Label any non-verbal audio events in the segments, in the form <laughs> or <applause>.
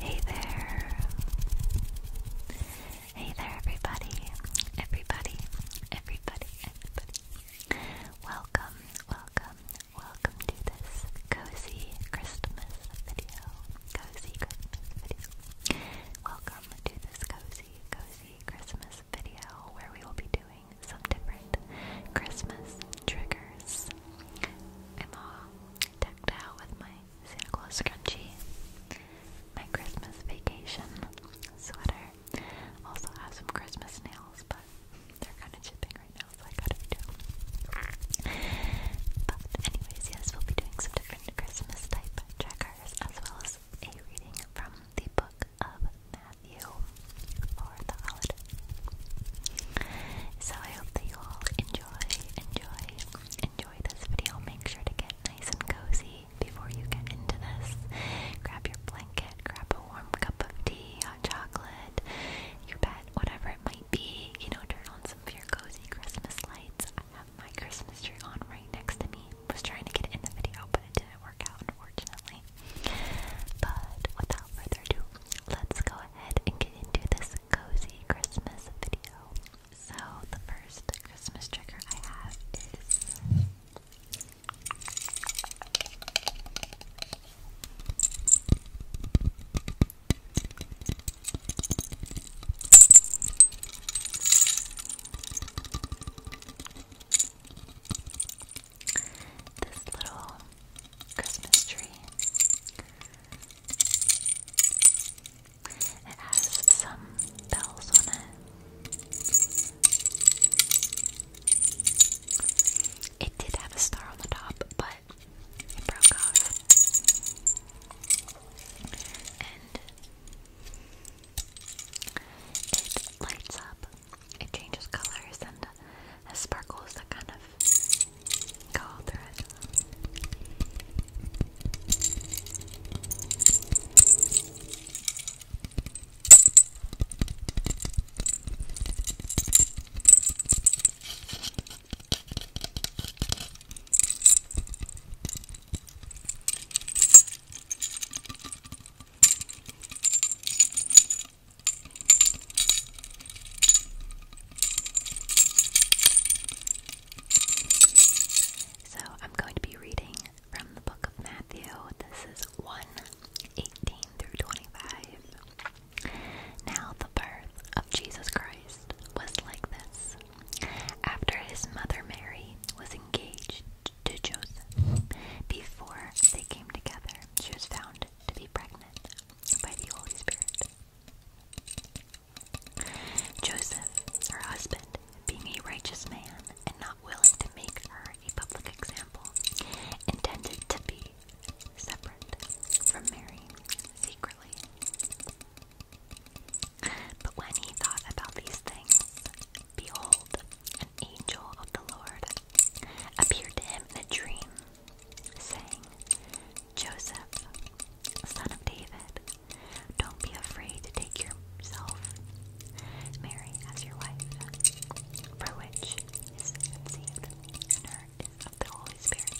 Hey there. Hey there, everybody. Everybody, everybody, Welcome, welcome, welcome to this cozy Christmas video. Cozy Christmas video. Welcome to this cozy, cozy Christmas video where we will be doing some different Christmas triggers. I'm all decked out with my Santa Claus scrunchie, my Christmas vacation sweater. Also have some Christmas nails, but they're kind of chipping right now, so I gotta do But anyways, yes, we'll be doing some different Christmas type triggers as well as a reading from the book of Matthew for the holiday. So I hope that you all enjoy, enjoy, enjoy this video. Make sure to get nice and cozy before you get into this. Grab your blanket, grab a warm cup of tea, hot chocolate, your bed, whatever it might be. You know, turn on some of your cozy Christmas lights. I have my Christmas tree on right next to me. Was trying to get it in the video, but it didn't work unfortunately. But without further ado, let's go ahead and get into this cozy Christmas video. So, the first Christmas trigger I have is. This little Christmas tree. It has some bells on it. It did have a star on the top, but it broke off. And it lights up, it changes colors, and has sparkles that kind of go through it. So I'm going to be reading from the book of Matthew. This is 1 18 through 25. Now, the birth of Jesus Christ was like this. After his mother Mary was engaged to Joseph, before they came together, she was found to be pregnant by the Holy Spirit. Joseph, her husband, being a righteous man and not willing to make her a public example, intended to be separate from Mary secretly. But when he thought about these things, behold, an angel of the Lord appeared to him in a dream, saying, Joseph, son of David, don't be afraid to take yourself Mary as your wife, for which is conceived in her is of the Holy Spirit.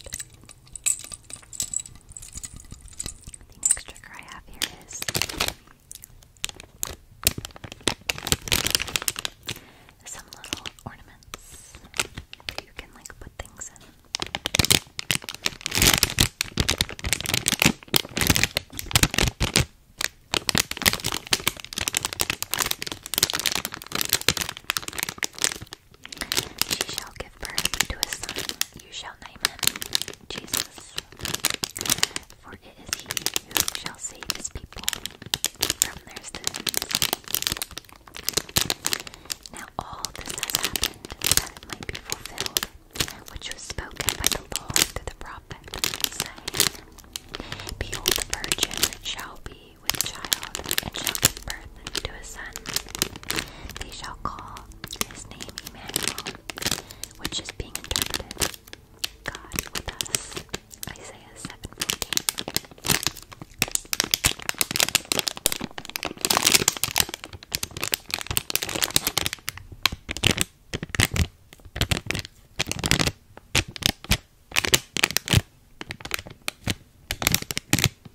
The next trigger I have here is some little ornaments that you can like put things in. She shall get birth to a son, you shall name him Jesus. For it is he who shall save his people from their sins. Now all this has happened that it might be fulfilled, which was spoken by the Lord through the prophet, saying, Behold, the virgin shall be with child, and shall give birth to a son. They shall call his name, Emmanuel, which is being interpreted God with us. Isaiah 7:14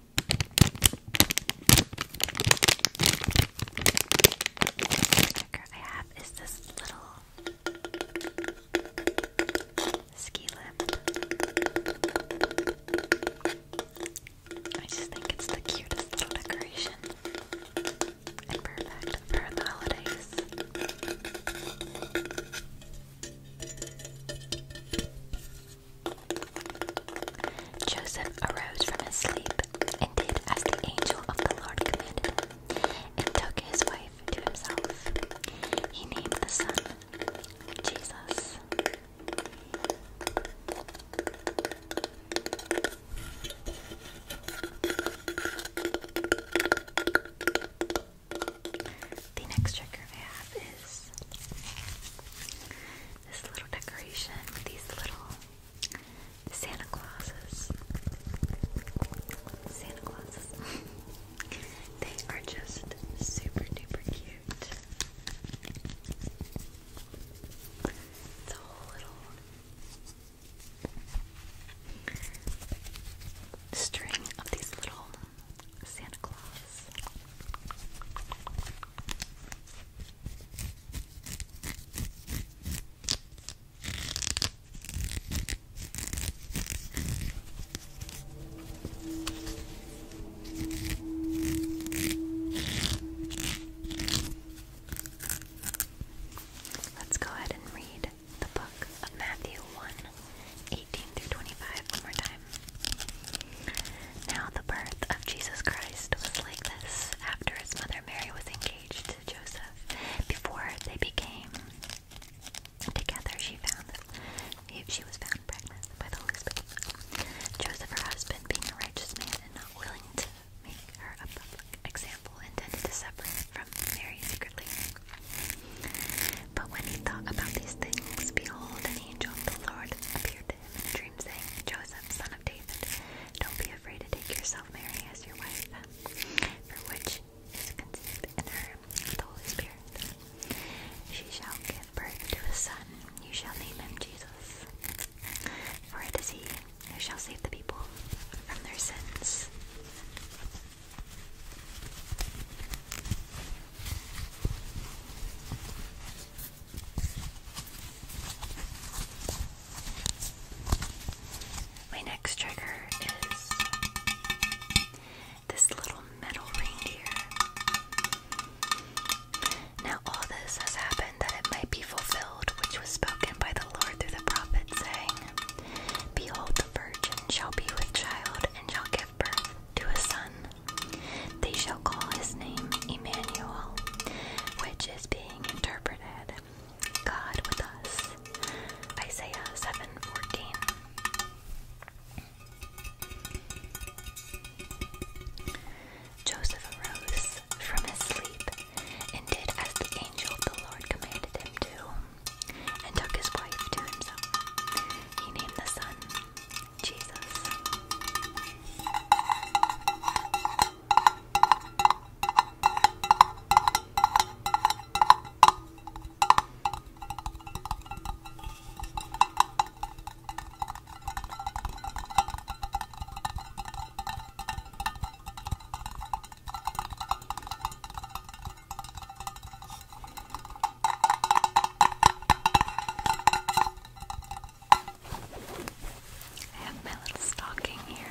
sticker I have is this little ski lip. I just think it's the cutest little decoration and perfect for the holidays. Joseph arose from his sleep and did as the angel of the Lord commanded him, and took his wife to himself. He named the son Jesus. The next trigger I have is this little decoration with these little Santa Clauses. Santa Clauses. <laughs> they are just super duper cute. It's a little string of these little Santa Claus this. Let's go ahead and read the book of Matthew 1 through 25 one more time time. Now, the birth of Jesus Christ was like this after his mother Mary was engaged to Joseph. Before they became together, she found that she was found pregnant by the Holy Spirit. Joseph, her husband, being a righteous man and not willing to make her a public example, intended to separate from Mary secretly. But when he thought about these things, behold, an angel of the Lord appeared to him in a dream, saying, Joseph, son of David, don't be afraid to take yourself Mary as your wife, for which is conceived in her the Holy Spirit. She shall give birth to a son, you shall name him Jesus, for it is he who shall save the people from their sins. My next trigger is this little metal reindeer. Now, all this has happened that it might be fulfilled, which was spoken by the Lord through the prophet, saying, Behold, the virgin shall be with child and shall give birth to a son, they shall call his name Emmanuel, which is being interpreted God with us. Isaiah 7:14. Joseph arose from his sleep and did as the angel of the Lord commanded him to, and took his wife to himself. He named the son Jesus. I have my little stocking here.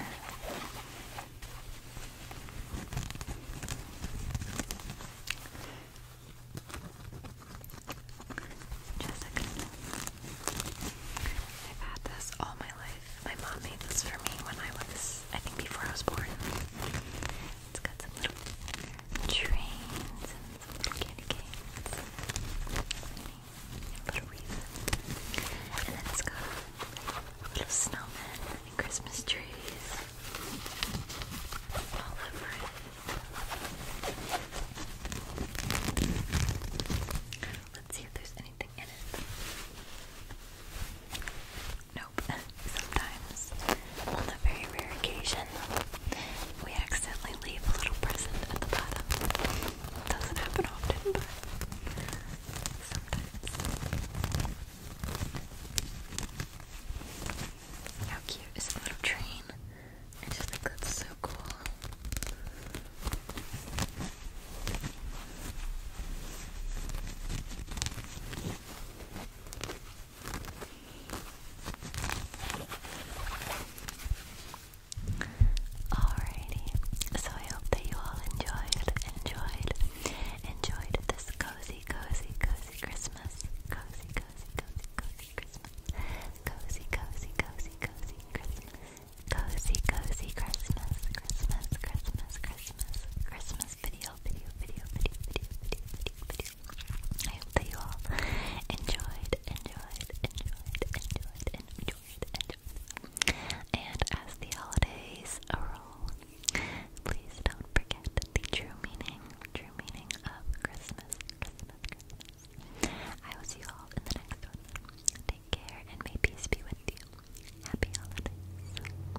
Jessica. I've had this all my life. My mom made this for me when I was, I think before I was born. It's got some little trains and some little candy canes. A little wreath. And then it's got little snowmen and Christmas trees all over it. Let's see if there's anything in it. Nope. <laughs> Sometimes, on the very rare occasion, we accidentally leave a little present at the bottom. Doesn't happen often, but sometimes. How cute is the little train? I just think that's so cool. Alrighty, so I hope that you all enjoyed, enjoyed, enjoyed this cozy, cozy, cozy Christmas. Cozy, cozy, cozy, cozy Christmas. Cozy, cozy, cozy, cozy Christmas. Cozy, cozy Christmas, Christmas, Christmas, Christmas, Christmas video video, video, video, video, video, video, video, I hope that you all enjoyed, enjoyed, enjoyed, enjoyed, enjoyed, enjoyed. And as the holidays roll, please don't forget the true meaning, true meaning of Christmas, Christmas. I will see you all in the next one. Take care and may peace be with you. Happy holidays.